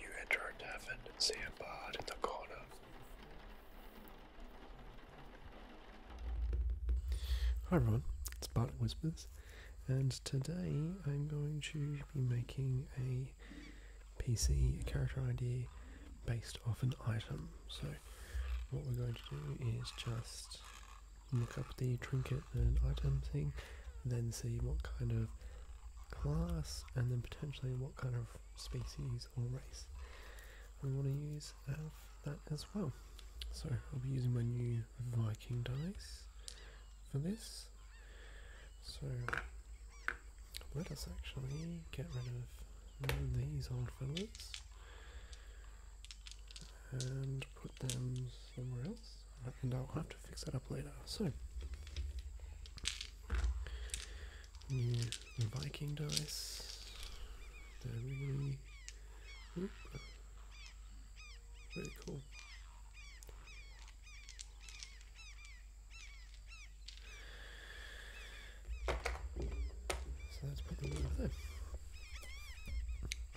You enter a tavern and see a bard in the corner. Hi everyone, it's Bart Whispers, and today I'm going to be making a PC character idea based off an item. So, what we're going to do is just look up the trinket and item thing, then see what kind of class and then potentially what kind of species or race we want to use that as well. So I'll be using my new Viking dice for this. So let us actually get rid of these old fellas and put them somewhere else and I'll have to fix that up later. So, Viking dice. Very cool. So let's put them over there.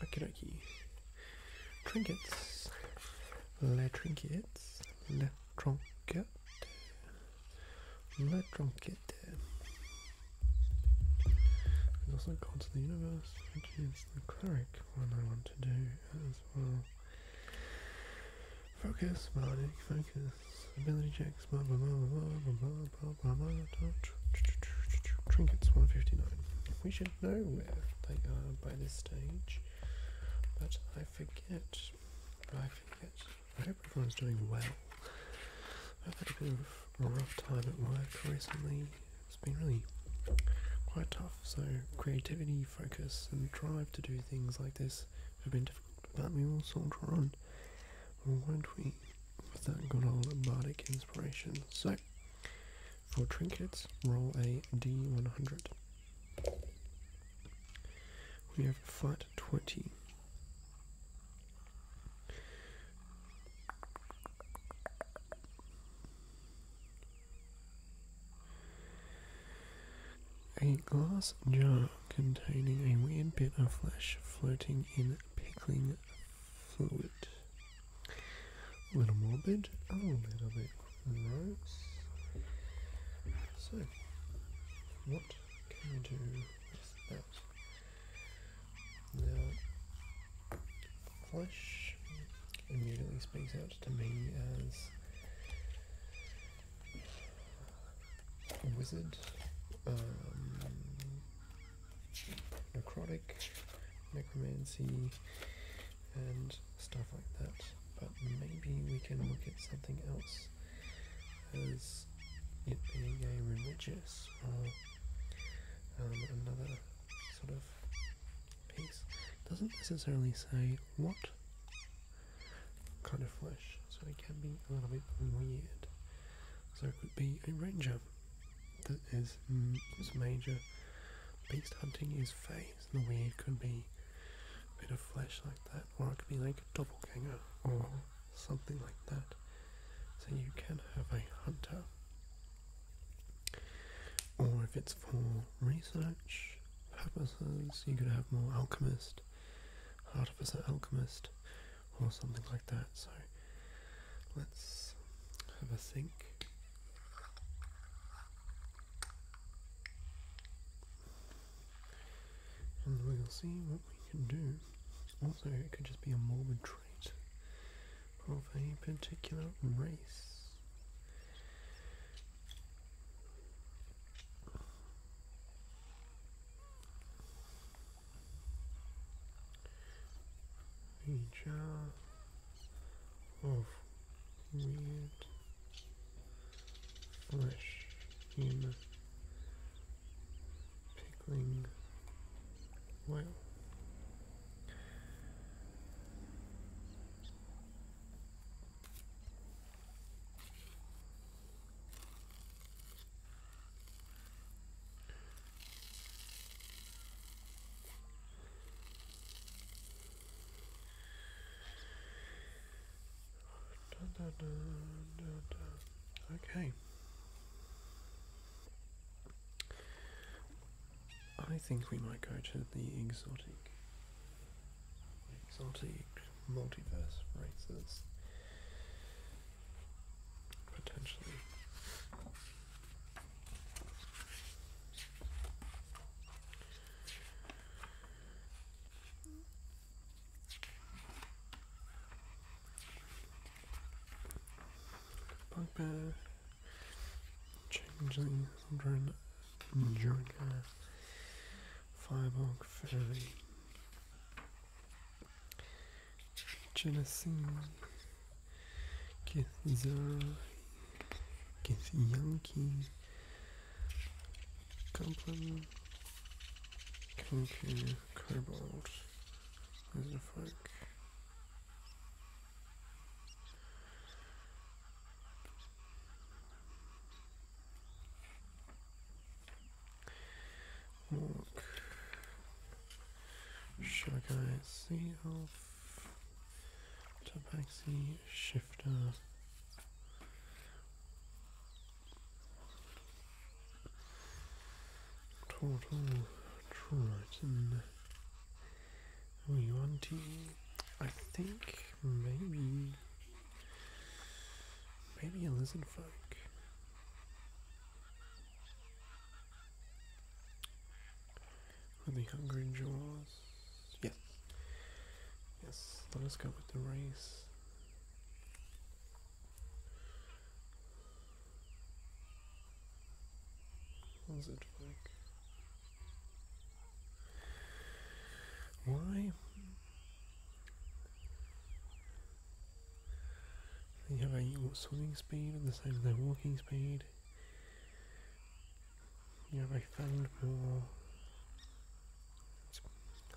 Okie dokie trinkets, les trinkets, les trinkets, les trinkets. And also God to the universe, which is the cleric one I want to do as well. Focus, melodic focus, ability checks, blah blah blah blah blah blah blah blah blah. trinkets 159. We should should know if they are by this stage, but I forget. I forget. I hope everyone's doing well. I've had a bit of a rough time at work recently. It's been really quite tough, so creativity, focus, and drive to do things like this have been difficult, but we will soldier on, won't we? With that good old bardic inspiration. So, for trinkets, roll a d100. We have flat 20. A glass jar containing a weird bit of flesh floating in pickling a little more morbid, oh, a little bit morose. So, what can we do with that? Now, flesh immediately speaks out to me as wizard, um, necrotic, necromancy, and stuff like that. But maybe we can look at something else as it being a religious or um, another sort of piece. Doesn't necessarily say what kind of flesh, so it can be a little bit weird. So it could be a ranger that is mm, major beast hunting is face. The weird could be a bit of flesh like that, or it could be like a doppelganger or something like that. So you can have a hunter. Or if it's for research purposes, you could have more alchemist, artificer alchemist, or something like that. So Let's have a think. And we'll see what we can do. Also, it could just be a morbid trait of a particular race a jar of weird flesh in pickling whale. Okay. I think we might go to the exotic, exotic multiverse races potentially. Bugbear, Changeling, Thundering, Enduringer, Firebug, Fairy, Genesee, Kithza, Kithyanki, Compline, Conquer, Cobalt, what the fuck? Walk, Shagai, Sea Elf, tabaxi shifter Total Triton We want to I think maybe maybe a lizard folk with the hungry jaws. Yes. Yes, let us go with the race. What's it like? Why? They have a swimming speed and the same as their walking speed. You have a fend more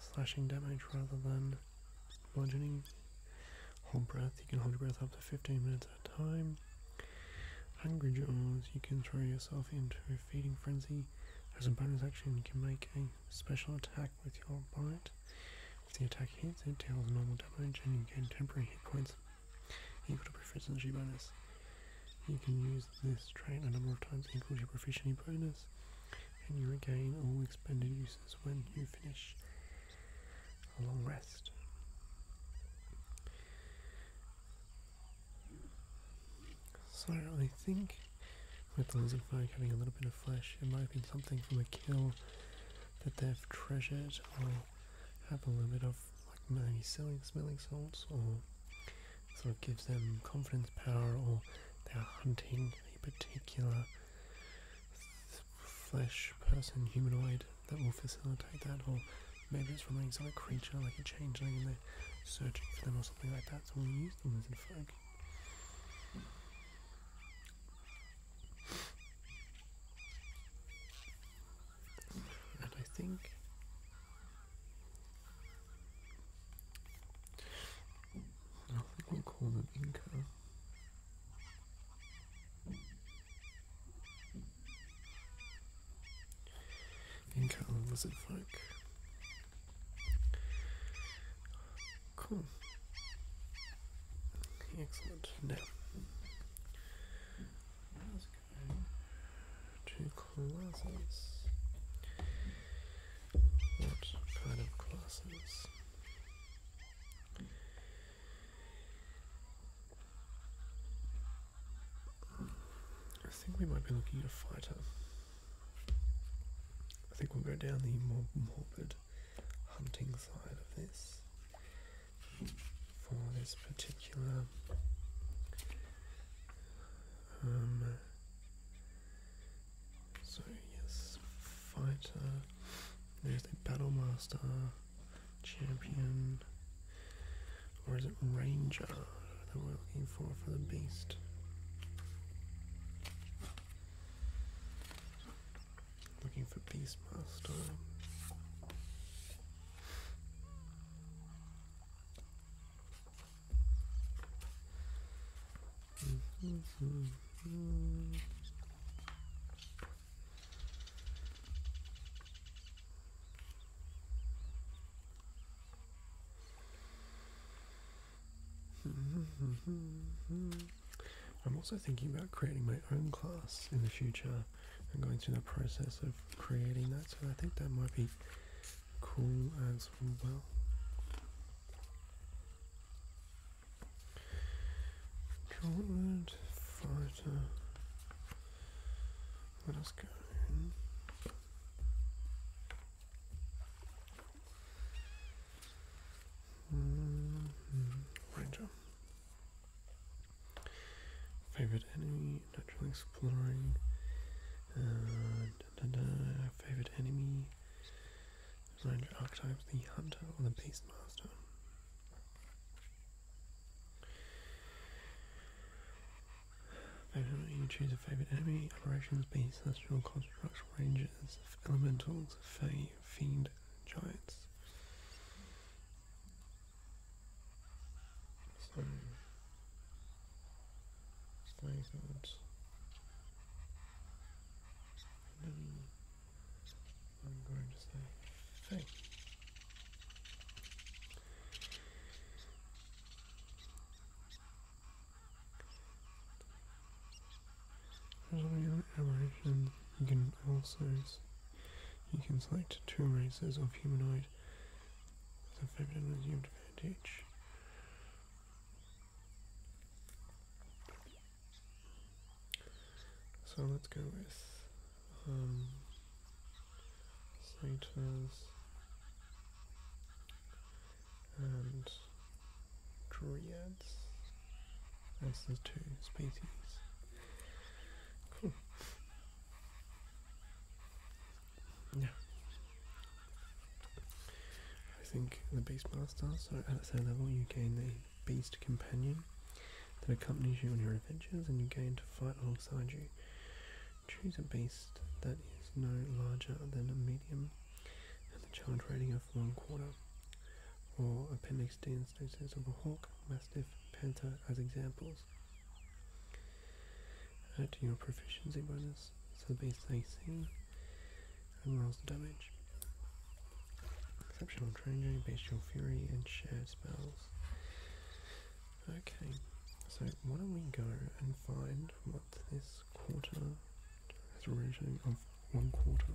slashing damage rather than bludgeoning. Hold breath, you can hold your breath up to 15 minutes at a time. Angry Jaws, you can throw yourself into a feeding frenzy. As a bonus action, you can make a special attack with your bite. If the attack hits, it deals normal damage and you gain temporary hit points Equal to proficiency bonus. You can use this trait a number of times equal to your proficiency bonus, and you regain all expended uses when you finish a long rest. So I think with the lizard folk having a little bit of flesh, it might have been something from a kill that they've treasured or have a little bit of like maybe selling smelling salts or sort of gives them confidence power or they're hunting a particular flesh person humanoid that will facilitate that or maybe it's from an exotic creature like a changeling and they're searching for them or something like that so we'll use them as a folk and I think I think we'll call them Inca. Inca and lizard folk. Cool. Excellent. Now, let classes. What kind of classes? I think we might be looking at a fighter. I think we'll go down the more morbid hunting side of this for this particular um, so yes fighter there's a battle master champion or is it ranger that we're looking for for the beast Looking for peace, master. Mm-hmm. Mm-hmm. Mm-hmm. I'm also thinking about creating my own class in the future and going through the process of creating that, so I think that might be cool as well. Gauntlet, fighter, let us go in. Ranger. Favorite enemy, natural exploring. Uh, Favorite enemy. Range archetypes, the hunter or the beastmaster. Favorite you choose a favorite enemy. Operations, beast, celestial constructs, rangers, elementals, fae, Fiend Giants. Some Sky Gods. i going to say, hey. Following the aberration, you can also you can select two races of humanoid with a favored advantage. So let's go with um, and Drea birds as the two species. Yeah. I think the Beastmaster, so at the same level you gain the beast companion that accompanies you on your adventures and you gain to fight alongside you. Choose a beast that is no larger than a medium and the challenge rating of one quarter or appendix D instances of a hawk, mastiff, panther as examples. Add to your proficiency bonus, so base AC, and rolls the damage. Exceptional training, bestial fury, and shared spells. Okay, so why don't we go and find what this quarter has a rating of one quarter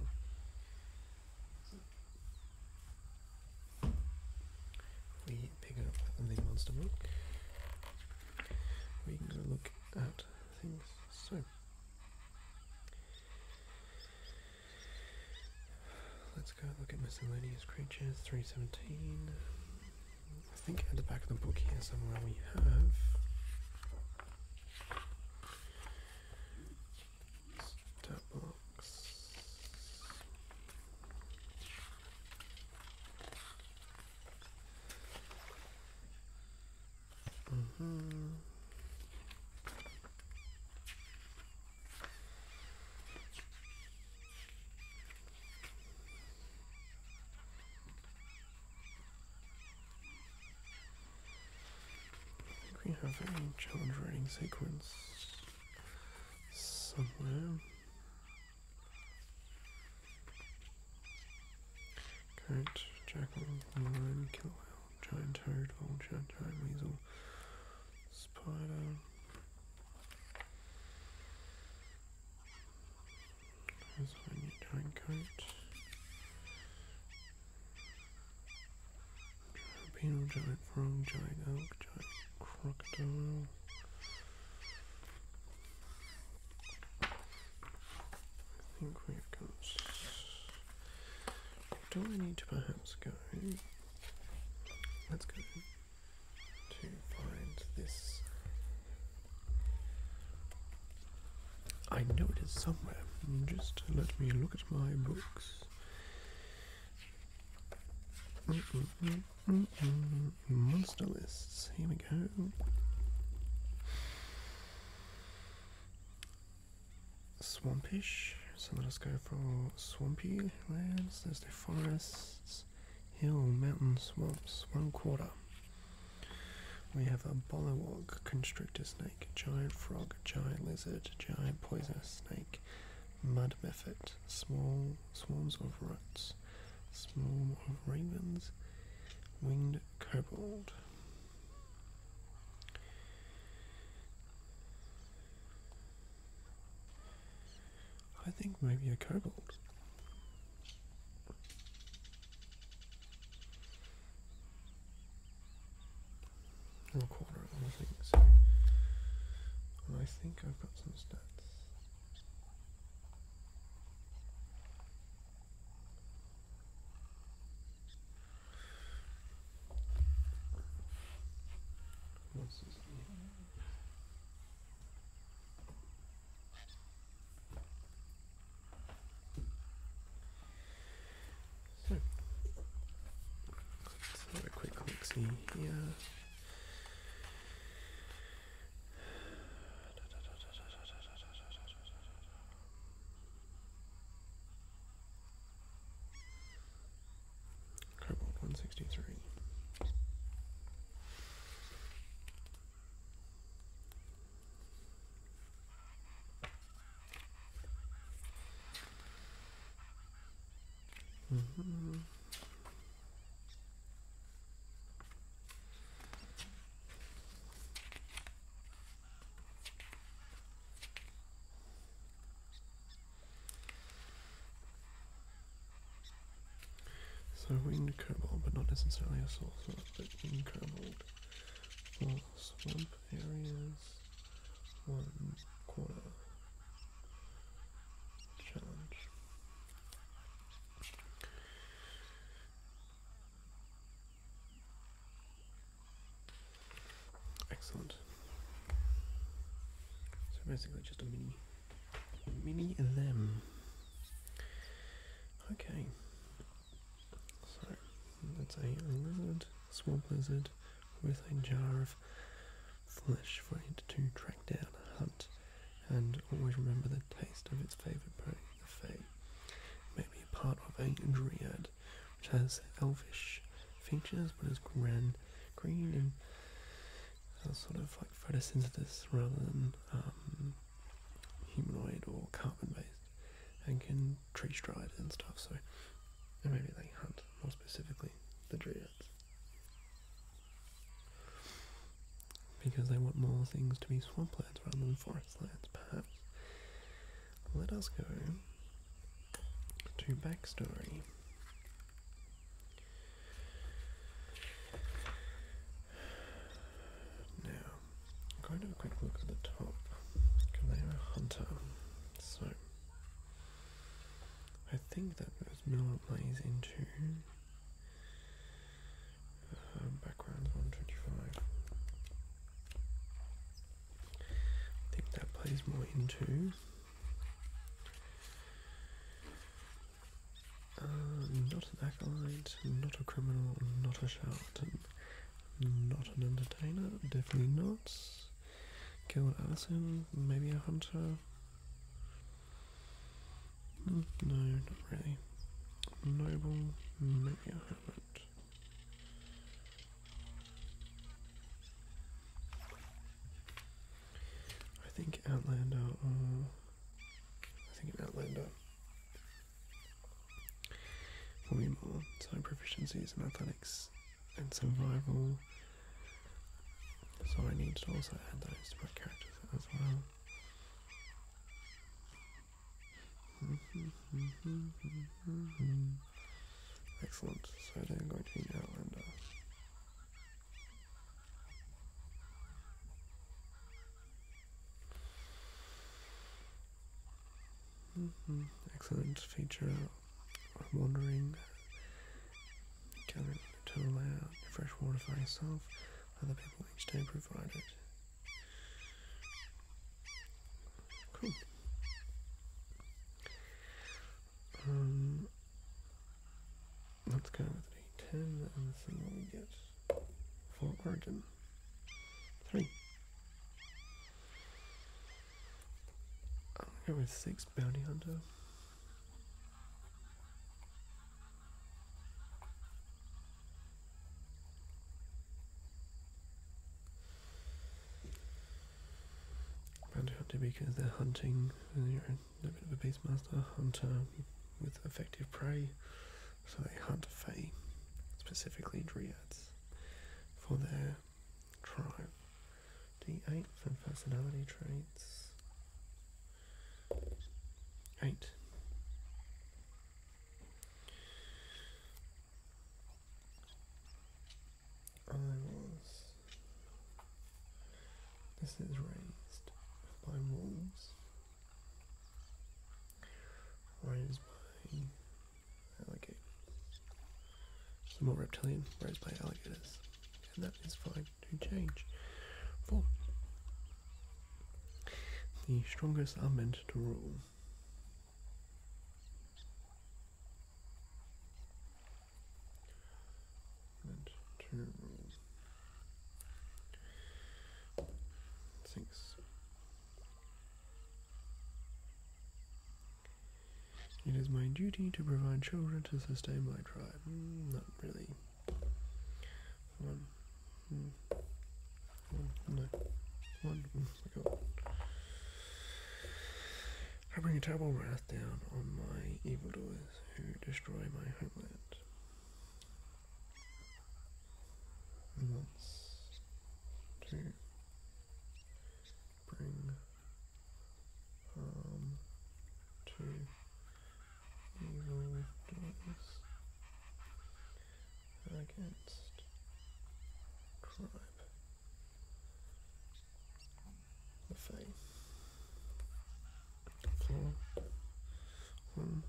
we pick up the monster book, we can go look at things. So, let's go look at miscellaneous creatures 317. I think at the back of the book here somewhere we have. Step box. Mm -hmm. I think We have a challenge rating sequence somewhere. Goat, jackal, lion, killer whale, giant toad, vulture, giant weasel, spider. There's a new giant coat. Penal giant frog, giant elk, giant crocodile. I think we've got. Do I need to perhaps go? Let's go to find this I know it is somewhere. Just let me look at my books. Monster lists. Here we go. Swampish. So let us go for swampy lands. There's the forests, hill, mountain, swamps. One quarter. We have a Bolowog, constrictor giant frog, giant lizard, giant poisonous snake, mud method, small swarms of rats, small of ravens, winged kobold. I think maybe a kobold. Or a quarter of I think. I think I've got some stats. So, let a quick look see here. Cobalt 163. Mm -hmm. So winged cobalt, but not necessarily a source of but winged cobalt for someone areas, one quarter challenge. Excellent. So basically just a mini mini them. Okay. So that's a lizard, swamp lizard, with a jar of flesh for it to track down, hunt, and always remember the taste of its favourite prey, Maybe a part of a dryad, which has elvish features but is gran, green and uh, sort of like photosynthesis rather than um, humanoid or carbon based and can tree stride and stuff. So, and maybe they hunt more specifically the tree dreads because they want more things to be swamp swamplands rather than forest lands, perhaps. Let us go to backstory. Now, I'm going to have a quick look at the top. Galeo Hunter. So I think that goes Mill plays into uh, backgrounds 125. I think that plays more into uh, not an acolyte, not a criminal, not a shout. Not an entertainer, definitely not. Gilbert Allison, maybe a hunter. Hmm, no, not really. Noble, maybe a hermit. I think Outlander, or I think Outlander for me more, so proficiencies in athletics and survival. So I need to also add those to my characters as well. Excellent. So I'm going to be an outlander. Mm-hmm. Excellent feature of wandering. Coming to allow fresh water for yourself, other people each day provide it. Cool. Um, let's go with the 10 and see what we get for Oregon. 3. I'm going with six bounty hunter. Bounty hunter because they're hunting, you're a bit of a beastmaster hunter with effective prey. So they hunt Fae, specifically Dryads, for their tribe. D8 for personality traits. 8. I was. This is raised by wolves. Raised by alligator. i more reptilian, whereas my alligators. And that is fine to change. 4. The strongest are meant to rule. Meant to rule. 6. It is my duty to provide children to sustain my tribe. Hmm, not really. One. Hmm. No. One. Oh I bring a terrible wrath down on my evil doers who destroy my homeland. Let's bring harm to evil against tribe the fame for whom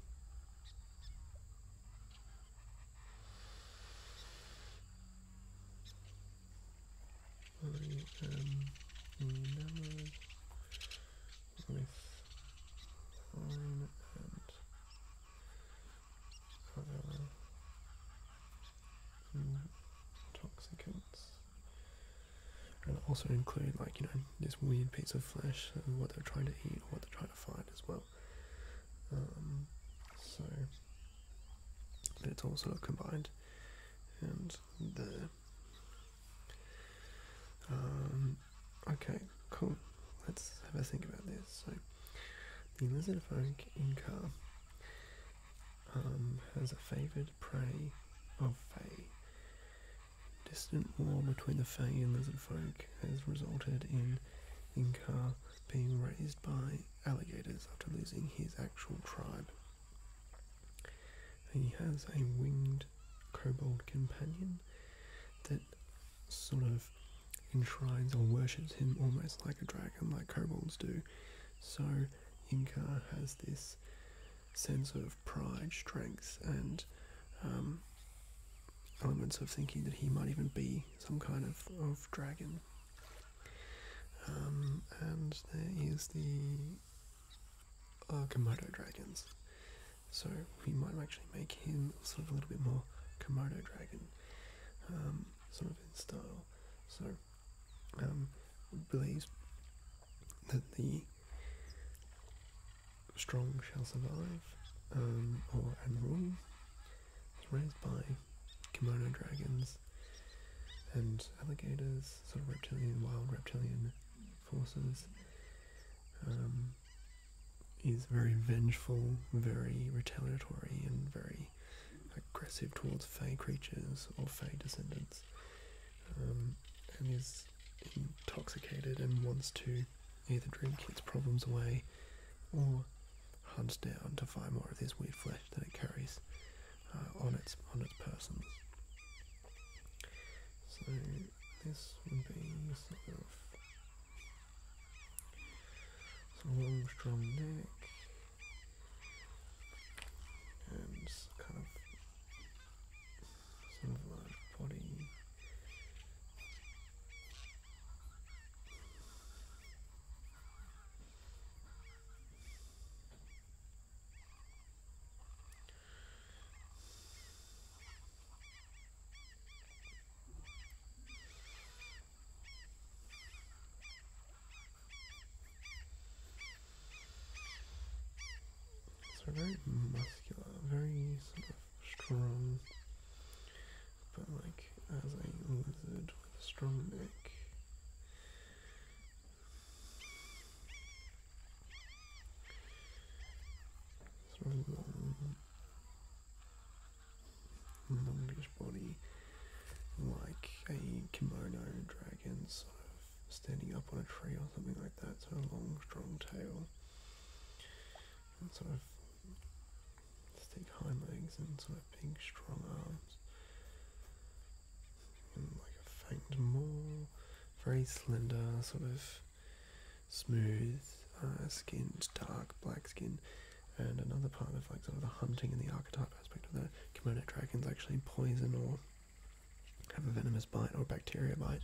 I am in love with time and other And also include like, you know, this weird piece of flesh and what they're trying to eat or what they're trying to find as well. Um, so let's also look combined, and there. Um, okay, cool. Let's have a think about this. So the lizard folk Inca um, has a favoured prey of Fae. Distant war between the Fae and lizard has resulted in Inca being raised by alligators after losing his actual tribe. he has a winged kobold companion that sort of enshrines or worships him almost like a dragon, like kobolds do. So Inca has this sense of pride, strength, and um, elements of thinking that he might even be some kind of, of dragon. Um, and there is the Komodo dragons. So we might actually make him sort of a little bit more Komodo dragon, um, sort of in style. So um, believes that the strong shall survive, um, or Emerald raised by kimono dragons and alligators, sort of reptilian, wild reptilian forces. Um, is very vengeful, very retaliatory, and very aggressive towards Fey creatures or Fey descendants, um, and is intoxicated and wants to either drink its problems away or hunt down to find more of this weird flesh that it carries uh, on its on its persons. So this would be sort of some long, strong neck and kind of sort body. So very muscular, very sort of strong but like as a lizard with a strong neck. Sort of long, longish body, like a kimono dragon, sort of standing up on a tree or something like that. Sort of long, strong tail, sort of Let's take high legs and sort of big, strong arms. And like a faint, more very slender, sort of smooth uh, skinned, dark black skin. And another part of like sort of the hunting and the archetype aspect of that kimono dragons actually poison or have a venomous bite or bacteria bite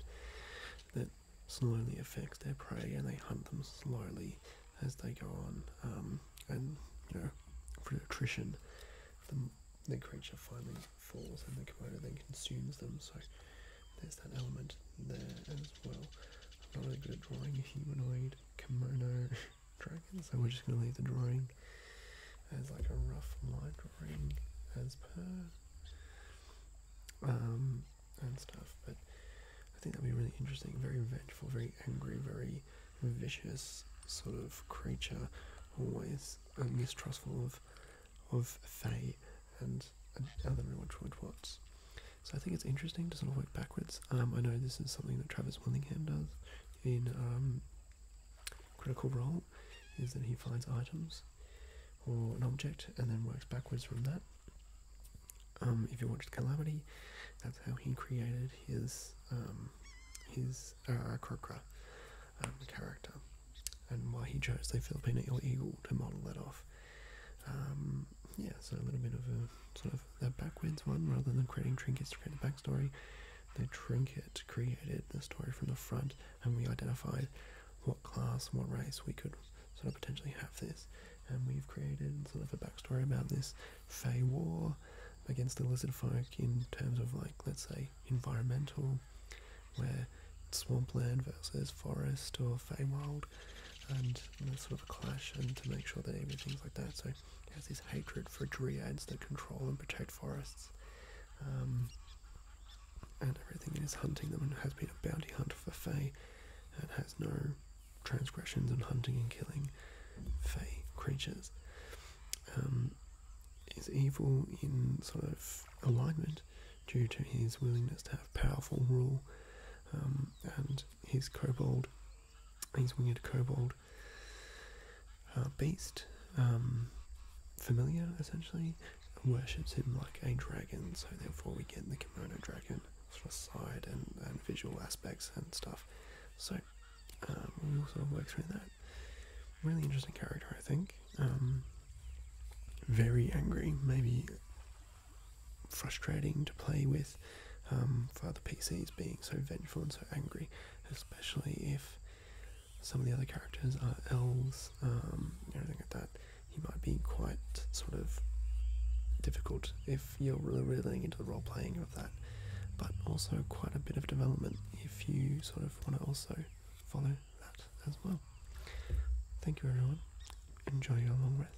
that slowly affects their prey and they hunt them slowly as they go on. Um, and, for attrition, the, the creature finally falls and the komodo then consumes them. So there's that element there as well. I'm not really good at drawing a humanoid kimono dragon, so we're just going to leave the drawing as like a rough line drawing as per. Um, and stuff. But I think that'd be really interesting. Very vengeful, very angry, very vicious sort of creature, always um, mistrustful of of Fae and, and other Rewatchwood Watts. So I think it's interesting to sort of work backwards. Um, I know this is something that Travis Willingham does in um, Critical Role, is that he finds items or an object and then works backwards from that um, if you watched Calamity, that's how he created his um, his uh, um, character, and why he chose the Filipino eagle to model that off. Um, yeah, so a little bit of a sort of the backwards one, rather than creating trinkets to create a backstory. The trinket created the story from the front, and we identified what class what race we could sort of potentially have this. And we've created sort of a backstory about this Fey war against the lizard folk in terms of like let's say environmental, where swampland versus forest or Feywild, and sort of a clash, and to make sure that everything's like that. So there's this hatred for dryads that control and protect forests. Um, and everything is hunting them and has been a bounty hunt for Fey that has no transgressions on hunting and killing fey creatures, um, is evil in sort of alignment due to his willingness to have powerful rule um, and his kobold, his winged kobold uh, beast, um, familiar essentially, worships him like a dragon. So therefore, we get the kimono dragon sort of side and, and visual aspects and stuff. So um, we'll work through that. Really interesting character, I think. Um, very angry, maybe frustrating to play with um, for the PCs being so vengeful and so angry, especially if some of the other characters are elves um, everything like that he might be quite sort of difficult if you're really into the role playing of that, but also quite a bit of development if you sort of want to also follow that as well. Thank you, everyone. Enjoy your long rest.